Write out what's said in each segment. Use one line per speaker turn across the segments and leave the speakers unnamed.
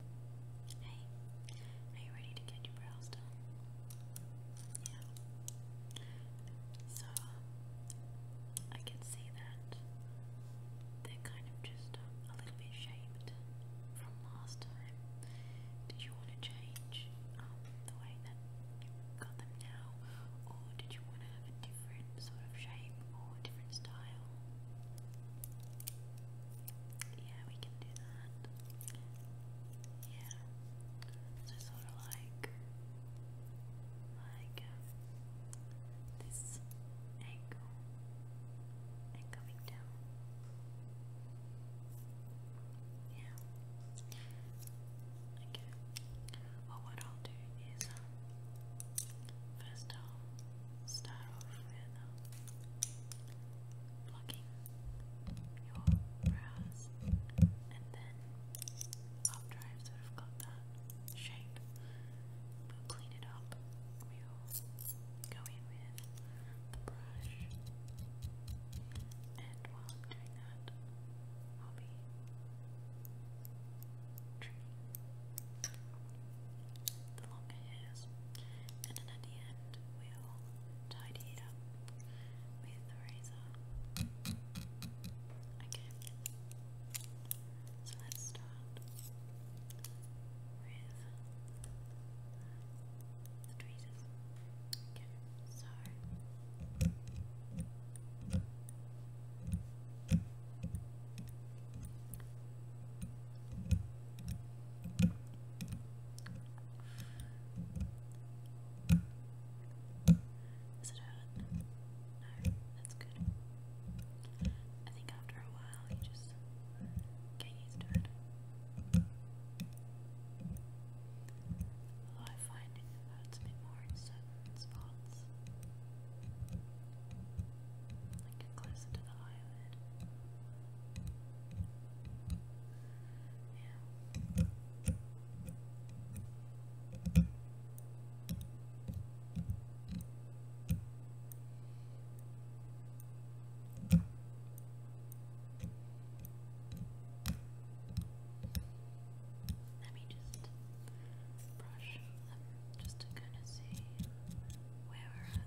Hey, are you ready to get your brows done? Yeah. So, I can see that they're kind of just um, a little bit shaped from last time. Did you want to change um, the way that you've them now, or did you want to have a different sort of shape or different style? Yeah, we can do that. Yeah. So sort of like like um, this angle and coming down. Yeah. Okay. Well, what I'll do is um, first start off with uh, your brows, and then after I've got that shape, we'll clean it up. We'll go in with the brush, and while I'm doing that, I'll be trimming the longer hairs. And at the end, we'll tidy it up with the razor. Okay. So let's start with the tweezers. Okay, so. Does it hurt? No, that's good. I think after a while you just get used to it. Although I find it hurts a more in certain spots. Like closer to the eyelid. Yeah. Let me just brush just to kind of see where we're at.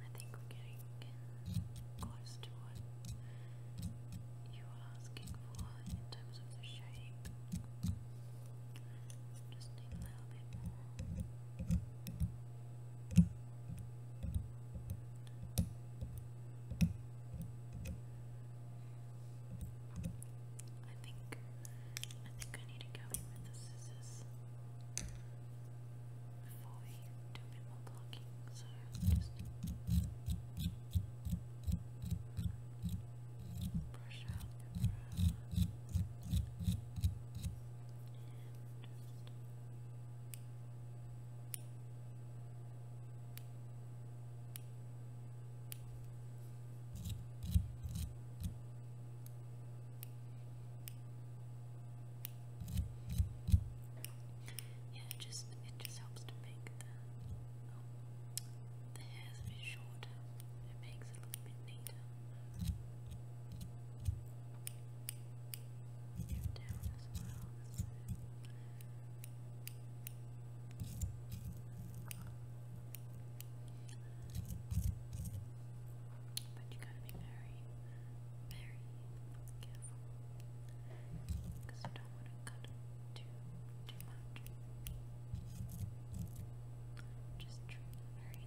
I think getting close to what you were asking for in terms of the shape. Just a little bit more. I think I think I need to go in with the scissors before we do a bit more blocking, so just brush out the brow and just yeah, it just it just helps to make the um, a bit shorter. It makes it look bit neater. Down as well. But you gotta be very, very careful. you don't want to cut too, too much. Just trim very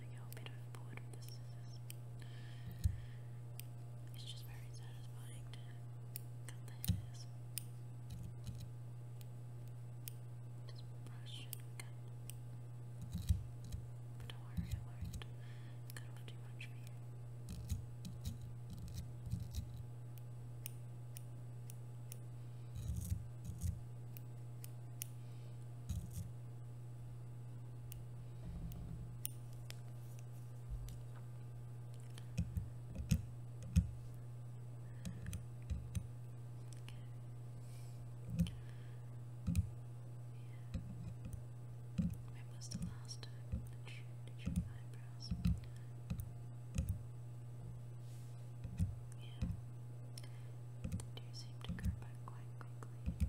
you It's just very satisfying to cut the hairs. Just brush and cut. But don't worry, I won't cut off too much for you. When was the last time that you did your eyebrows? Yeah. Do you seem to go back quite quickly?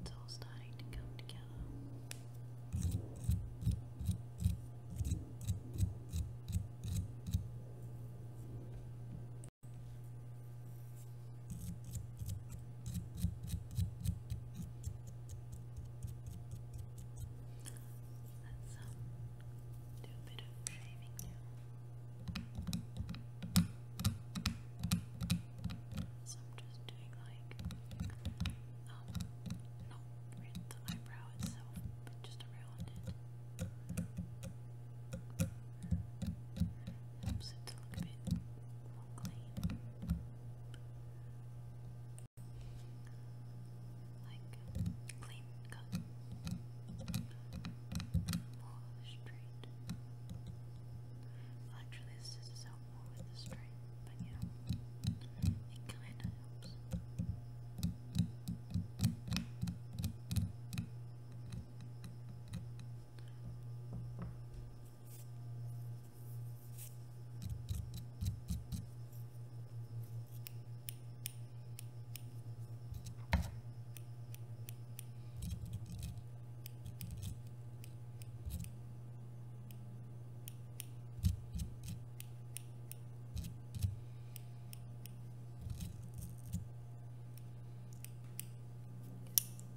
it's all starting to come together. That's um, do a bit of shaving now. So I'm just doing like, um, not the eyebrow itself, just around it. Helps it to look a bit more clean like Actually, this is out more with the straight, but you it kind of helps.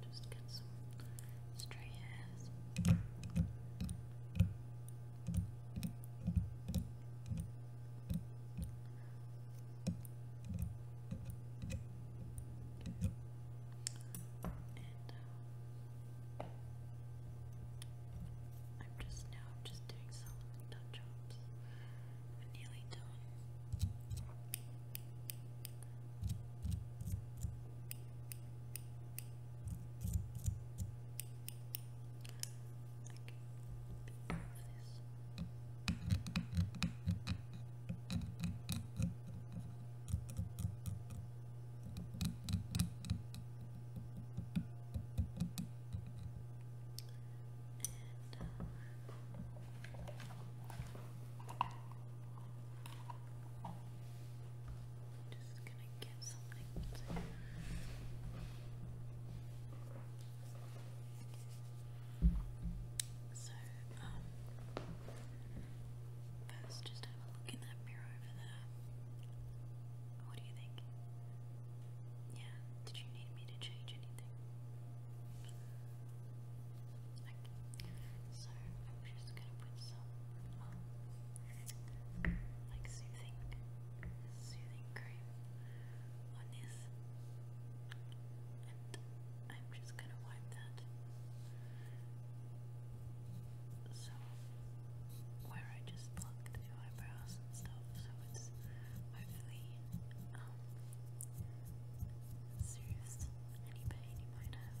Just get some stray hairs. Just and, uh, I'm just now just doing some touch ups. I'm nearly done. I can uh, just gonna get So, um, first just have a look in that mirror over there. What do you think? Yeah, did you need me to change anything? So, I'm just gonna put some, um, like soothing soothing cream on this, and I'm just gonna wipe that. So, where I just plucked the eyebrows and stuff, so it's hopefully um, soothes any pain you might have.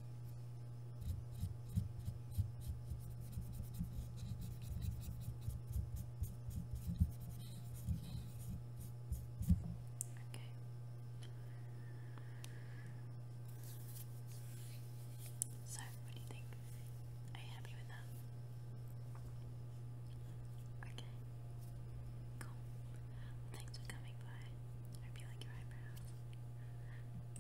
Okay. So, what do you think? Are you happy with that? Okay. Cool. thanks for coming by. hope you like your eyebrows.